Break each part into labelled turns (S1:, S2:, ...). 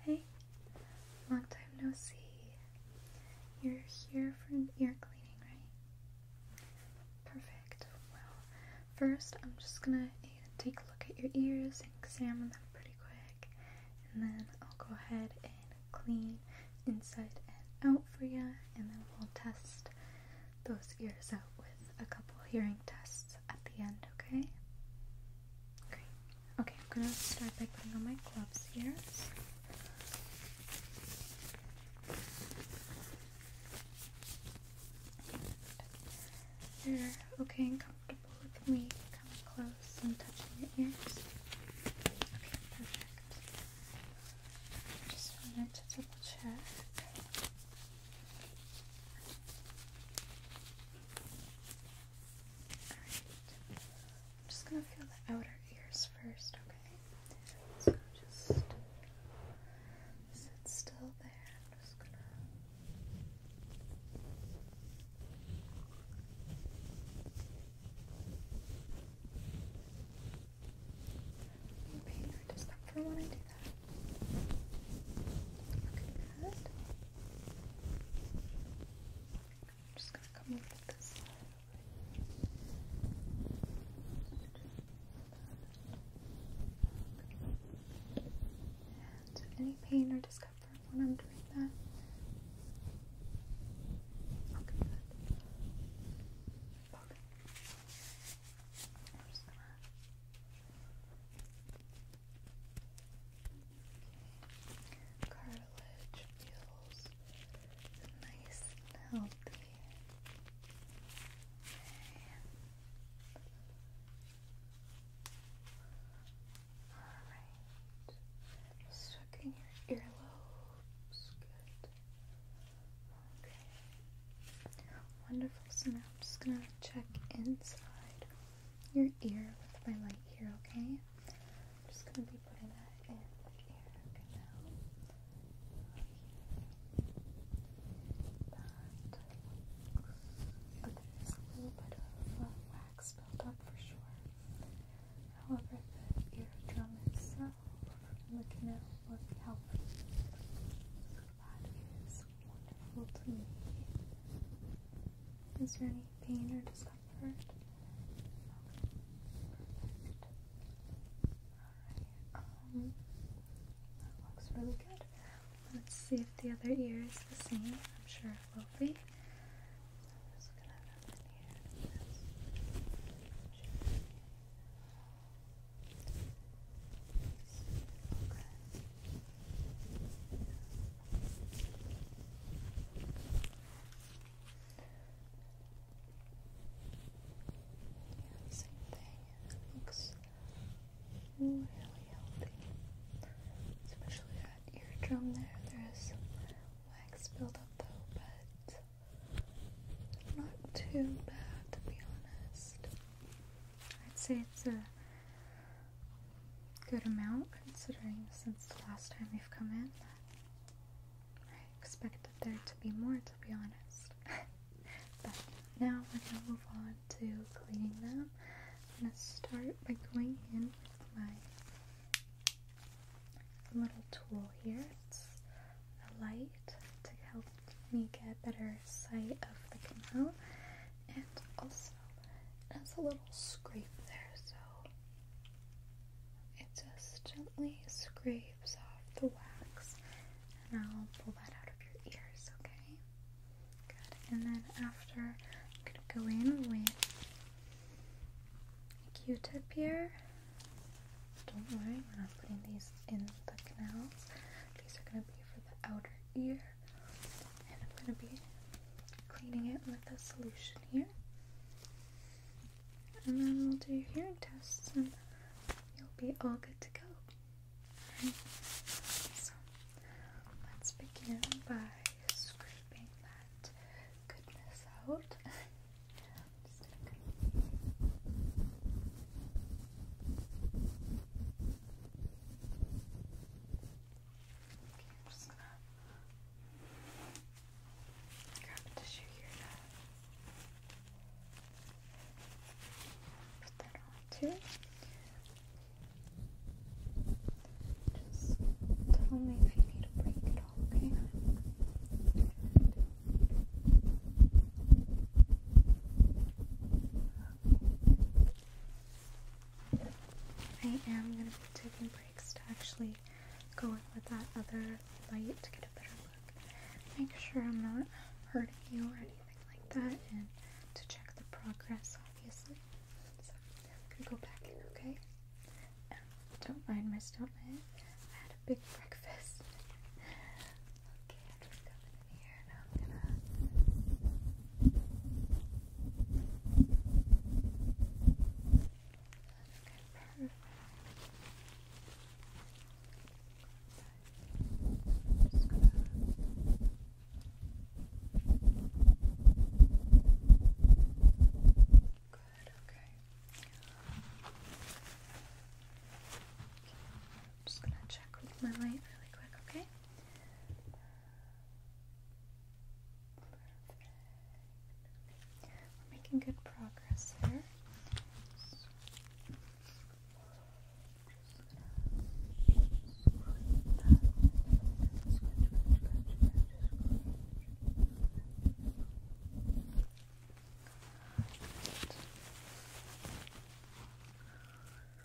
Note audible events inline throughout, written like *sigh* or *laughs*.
S1: Hey, long time no see. You're here for an ear cleaning, right? Perfect. Well, first I'm just gonna take a look at your ears and examine them pretty quick, and then I'll go ahead and clean inside and out for you, and then we'll test those ears out with a couple hearing tests at the end, okay? Great. Okay, I'm gonna start by putting on my gloves here. So. They're okay and comfortable with me coming close and touching your ears. Okay, perfect. just wanted to double check. I'm just gonna feel the outer ears first, okay? So just sit still there. I'm just gonna. Any pain or discomfort when I do that? Okay, good. I'm just gonna come over this side. any pain or discomfort when I'm doing that? Okay, Okay. I'm just gonna Cartilage feels nice and healthy. Alright. Stuck your earlobes. Good. Okay. Wonderful. So I'm just gonna check inside your ear with my light here, okay? I'm just going to be putting that in the ear canal. But, but there's a little bit of wax built for sure. However, the eardrum itself and the canal look healthy. So that is wonderful to me. Is there any pain or discomfort? Alright. Um that looks really good. Let's see if the other ear is the same. I'm sure it will be. Okay. Yeah, looks really healthy. Especially that eardrum there. There is wax buildup though, but not too bad to be honest. I'd say it's a good amount considering since the last time we've come in. I expected there to be more, to be honest. *laughs* but now we're gonna move on to cleaning them. I'm gonna start by going in with my little tool here. It's a light to help me get better far side of the canal and also has a little scrape there so it just gently scrapes off the wax and I'll pull that out of your ears, okay? Good. And then after I'm gonna go in with a Q-tip here. Don't worry, we're not putting these in the canals. These are gonna be for the outer ear and I'm going to be cleaning it with a solution here. And then we'll do your hearing tests and you'll be all good to go. so let's begin by scraping that goodness out. *laughs* Okay, grab a tissue here put that on too. Just tell me if you need a break at all, Okay. I am going to be taking breaks to actually go in with that other light to get a better look. Make sure I'm not hurting you or anything like that, and to check the progress, obviously. So I'm going to go back in, okay? don't mind my stomach. I had a big breakfast. *laughs* okay, I'm gonna here and I'm gonna Okay, perfect. Just gonna Good, okay. I'm just gonna check with my light really quick, okay? We're making good progress here.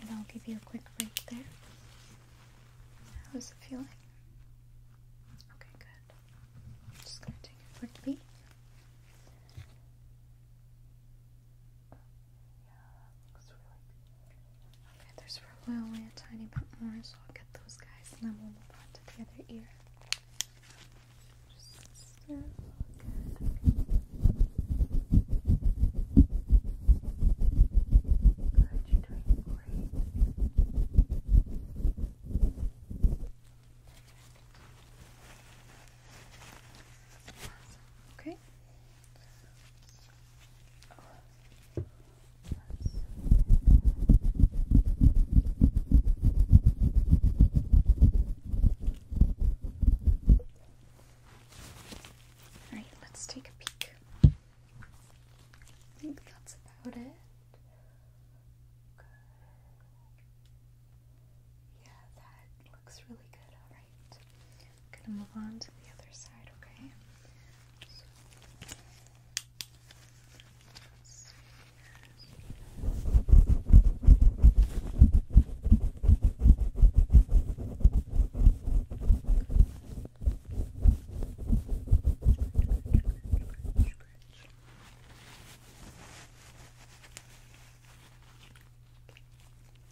S1: And I'll give you a quick break there. How's it feeling? Okay, good. just gonna take a quick beat. Yeah, looks really good. Okay, there's probably only a tiny bit more, so I'll get those guys and then we'll move on to the other ear. Just good. Good, you're doing great. Okay. Oh. Alright, let's take a peek. I think that's about it. Yeah, that looks really good. Alright. gonna move on to the other side, okay?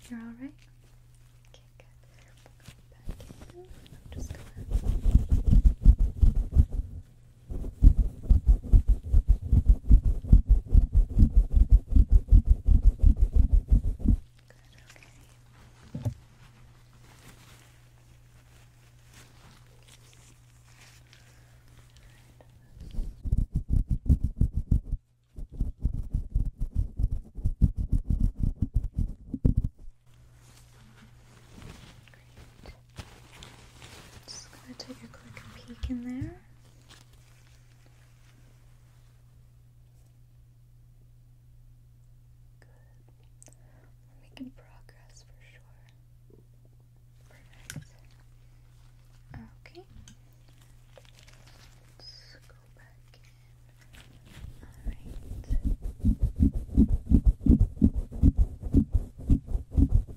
S1: You're all right. Okay, good. We'll go back in. I'm just gonna. Okay, okay. Great. Just going to take a quick peek in there. Good. We're making progress for sure. Perfect. Okay. Let's go back Alright.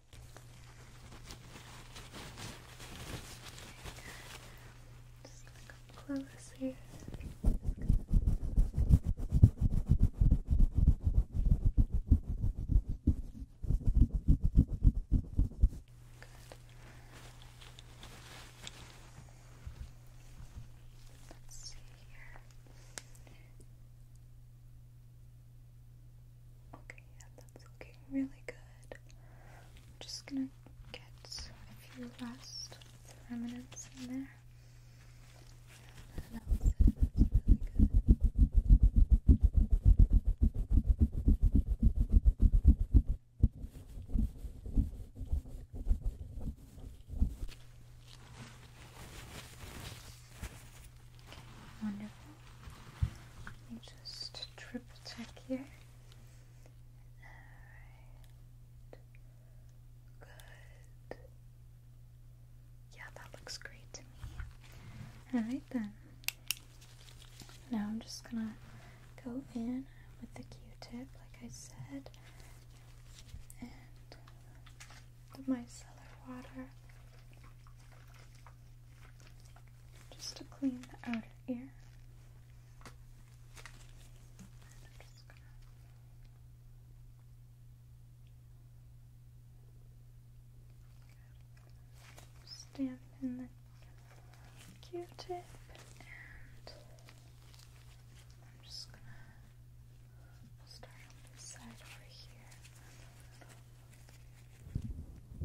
S1: Just gonna come close here. Let's see here. Okay, yeah, that's looking really good. I'm just gonna get a few last remnants in there. that was really good. Okay, wonderful. Let me just triple check here. Good. Yeah, that looks great to me. Alright then. Now I'm just gonna go in with the Q-tip, like I said, and the micellar water just to clean the outer ear. I'm just gonna stamp in the Q-tip, and I'm just gonna start on this side over here curves and turns and shapes. Get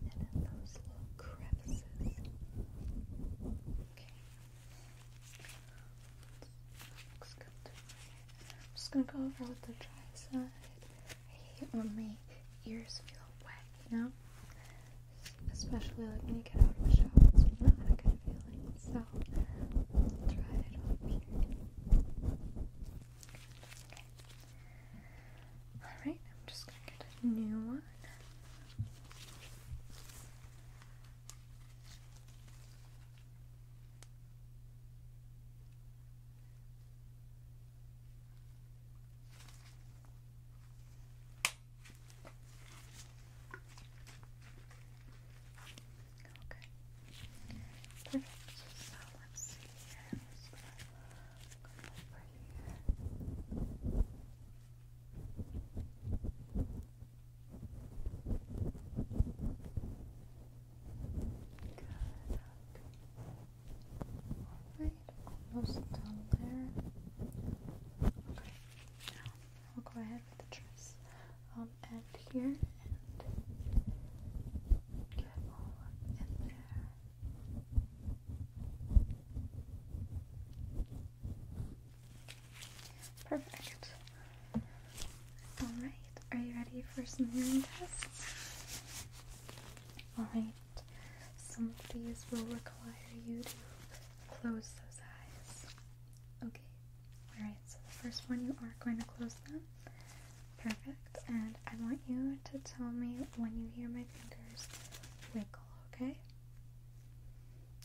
S1: in in those little crevices. Okay. Looks good to me. I'm just gonna go over with the dry side. I hate when my ears feel wet, you know? Especially like when you get out of the shower, it's not a good feeling. So, i it on Alright, I'm just gonna get a new one. Okay. Perfect. So let's see here. I'm just gonna go over here. Alright, almost done there. Okay, now we'll go ahead with the dress. Um, end here get all in there. Perfect. Alright, are you ready for some hearing tests? Alright, some of these will require you to close those eyes. Okay, alright, so the first one you are going to close them. Perfect, and I want you to tell me when you hear my fingers wiggle, okay?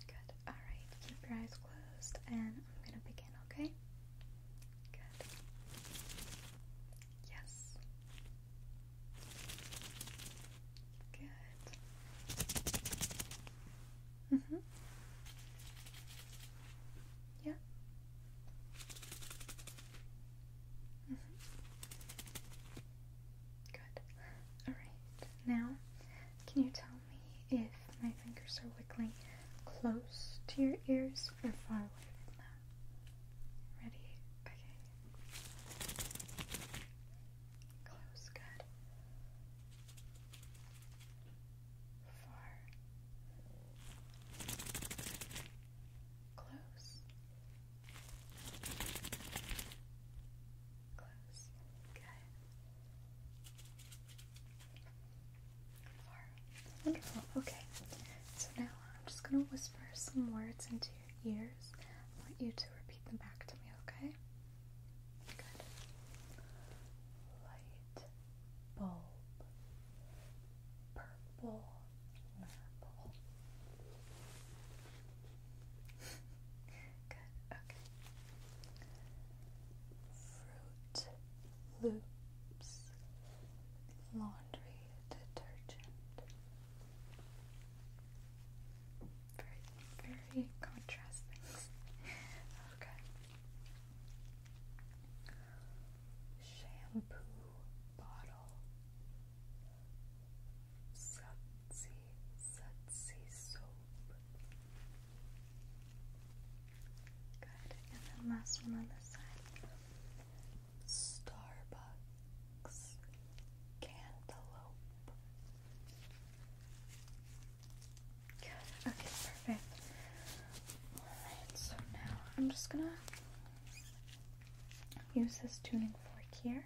S1: Good, alright, keep your eyes closed, and I'm going to begin again, okay? Good. Yes. Good. Mm-hmm. Yeah. Mm-hmm. Good. Alright. Now can you tell me if my fingers are wiggling close to your ears or far away from them? Ready? Okay. Close, good. Far. Close. Close. Good. Wonderful. Okay. So now I'm just going to whisper some words into your ears. I want you to repeat them back to me, okay? Good. Light bulb. Purple marble. *laughs* Good. Okay. Fruit Loops Laundry Detergent. Very, very contrasting. okay. Shampoo bottle. Sudsy, sudsy soap. Starbucks cantaloupe. Okay, perfect. Alright, so now I'm just gonna use this tuning fork here.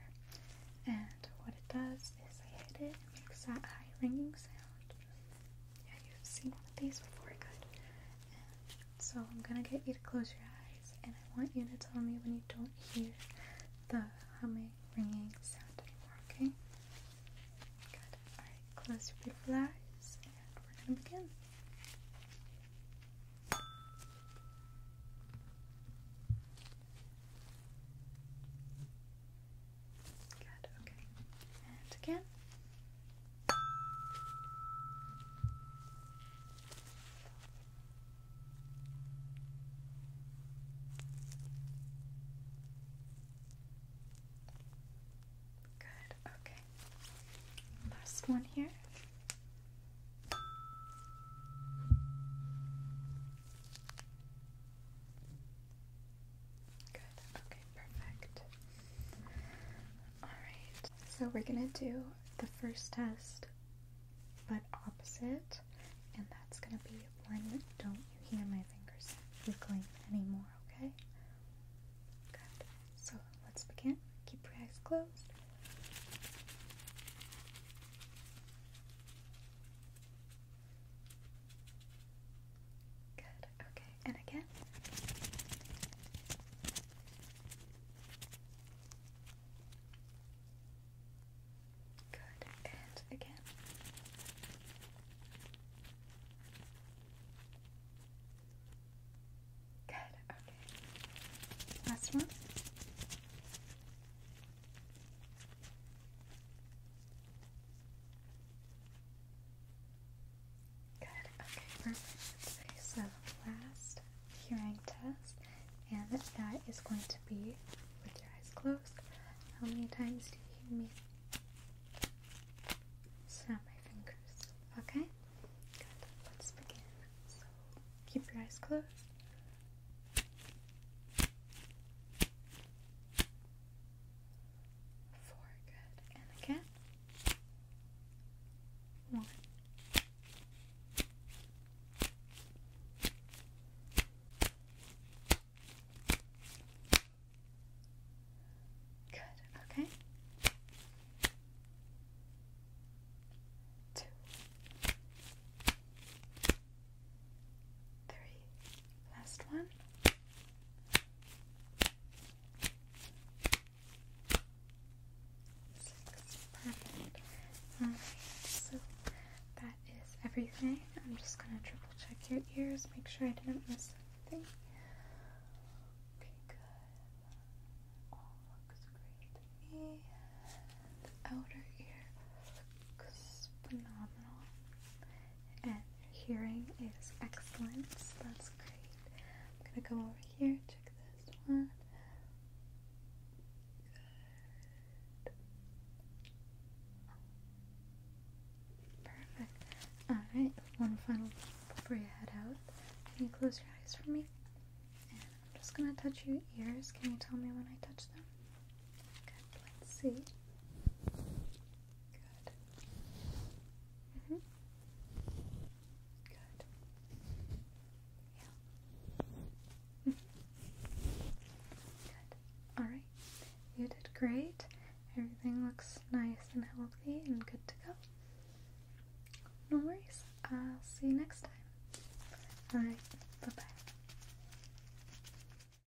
S1: And what it does is I hit it, it makes that high ringing sound. Yeah, you've seen these before, good. so I'm gonna get you to close your eyes, and I want you to tell me when you don't hear the humming, ringing sound anymore, okay? Good. Alright, close your beautiful eyes, and we're gonna begin. Good, okay. And again. Good, okay. Last one here. Good, okay perfect. Alright, so we're gonna do the first test but opposite, and that's gonna be one. Don't you hear my fingers wiggling anymore, okay? Good. So let's begin. Keep your eyes closed. Good. Okay. And again. Good. And again. Good. Okay. Last one. Good, okay, perfect. Okay, so last hearing test, and that is going to be with your eyes closed. How many times do you hear me snap my fingers? Okay, good, let's begin. So keep your eyes closed four, good, and again, one, good, okay, two three. Last one. Six. so that is everything. I'm just gonna triple check your ears, make sure I didn't miss anything. Okay, good. All looks great to me. The outer ear looks phenomenal and hearing is excellent, that's great. I'm gonna go over here, check this one. Good. Perfect. Alright, one final before you head out. Can you close your eyes for me? And I'm just gonna touch your ears. Can you tell me when I touch them? Okay. let's see. Good. -hmm. Good. Yeah. *laughs* Good. All right. You did great. Everything looks nice and healthy and good to go. No worries. I'll see you next time. All right. Bye bye.